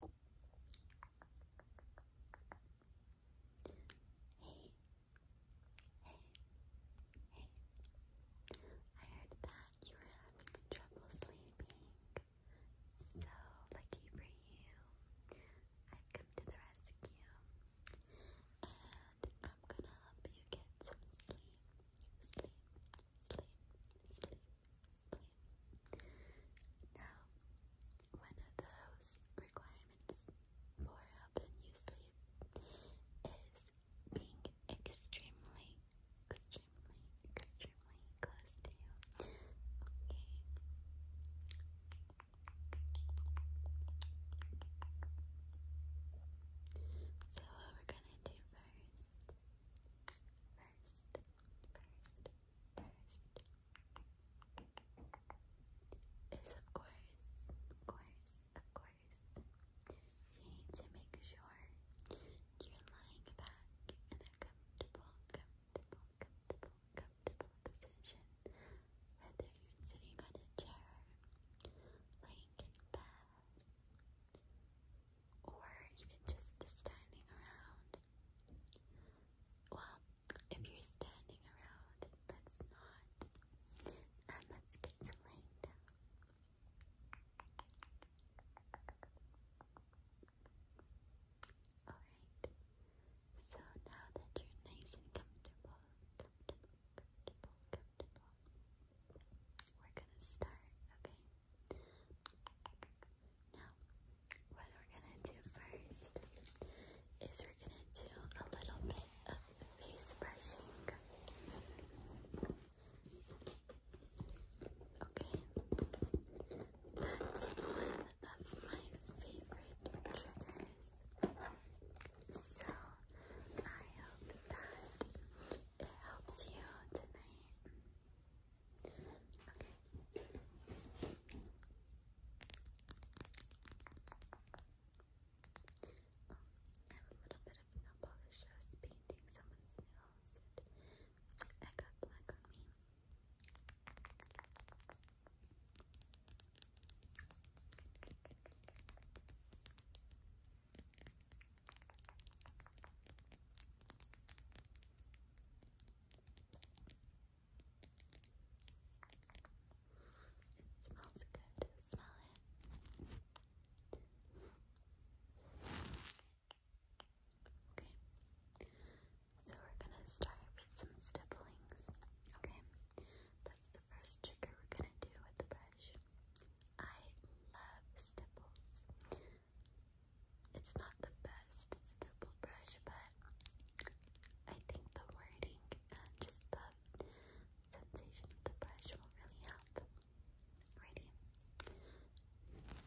Hey, hey, hey. I heard that you were having trouble sleeping. So lucky for you. i come to the rescue. And I'm gonna help you get some sleep. Sleep, sleep, sleep, now, one of those requirements for helping you sleep is being extremely, extremely, extremely close to you. Okay. So what we're gonna do first, first first, first is of course, of course, of course, you need to make sure you're lying back in a comfortable, comfortable, comfortable, comfortable position. Whether you're sitting on a chair, laying in bed, or even just standing around. Well, if you're standing around, let not. And let's get Alright, so now that you're nice and comfortable, we're gonna start, okay? Now, what we're gonna do first is we're gonna do a little bit of face brushing. Okay, that's one of my favorite triggers. So I hope that it helps you tonight. Okay. Oh, a little bit of nail polish. I painting someone's nails I got black on me. It smells good. Smell it. Okay. So we're gonna start with some stipplings. Okay the first trigger we're gonna do with the brush. I love stipples. It's not the best stipple brush, but I think the wording and just the sensation of the brush will really help. Ready? stipple,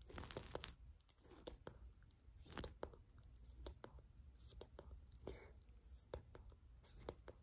stipple, stipple, stipple, stipple, stipple, stipple, stipple,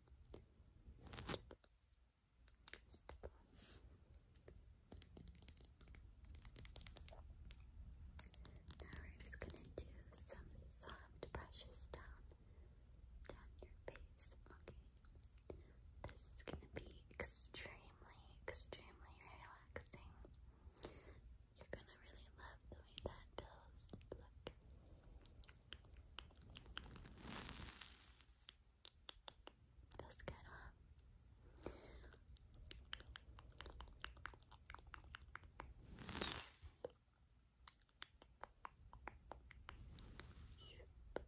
Now we're just gonna do some soft brushes down, down your face. Okay, this is gonna be extremely, extremely relaxing. You're gonna really love the way that feels. Look, Feels good, huh? Shoop. Shoop.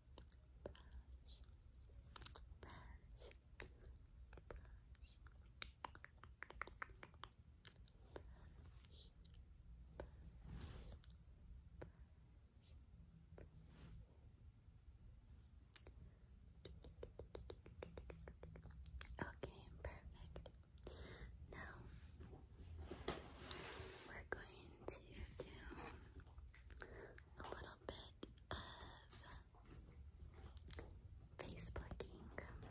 Okay, perfect. Now we're going to do a little bit of face plucking. Okay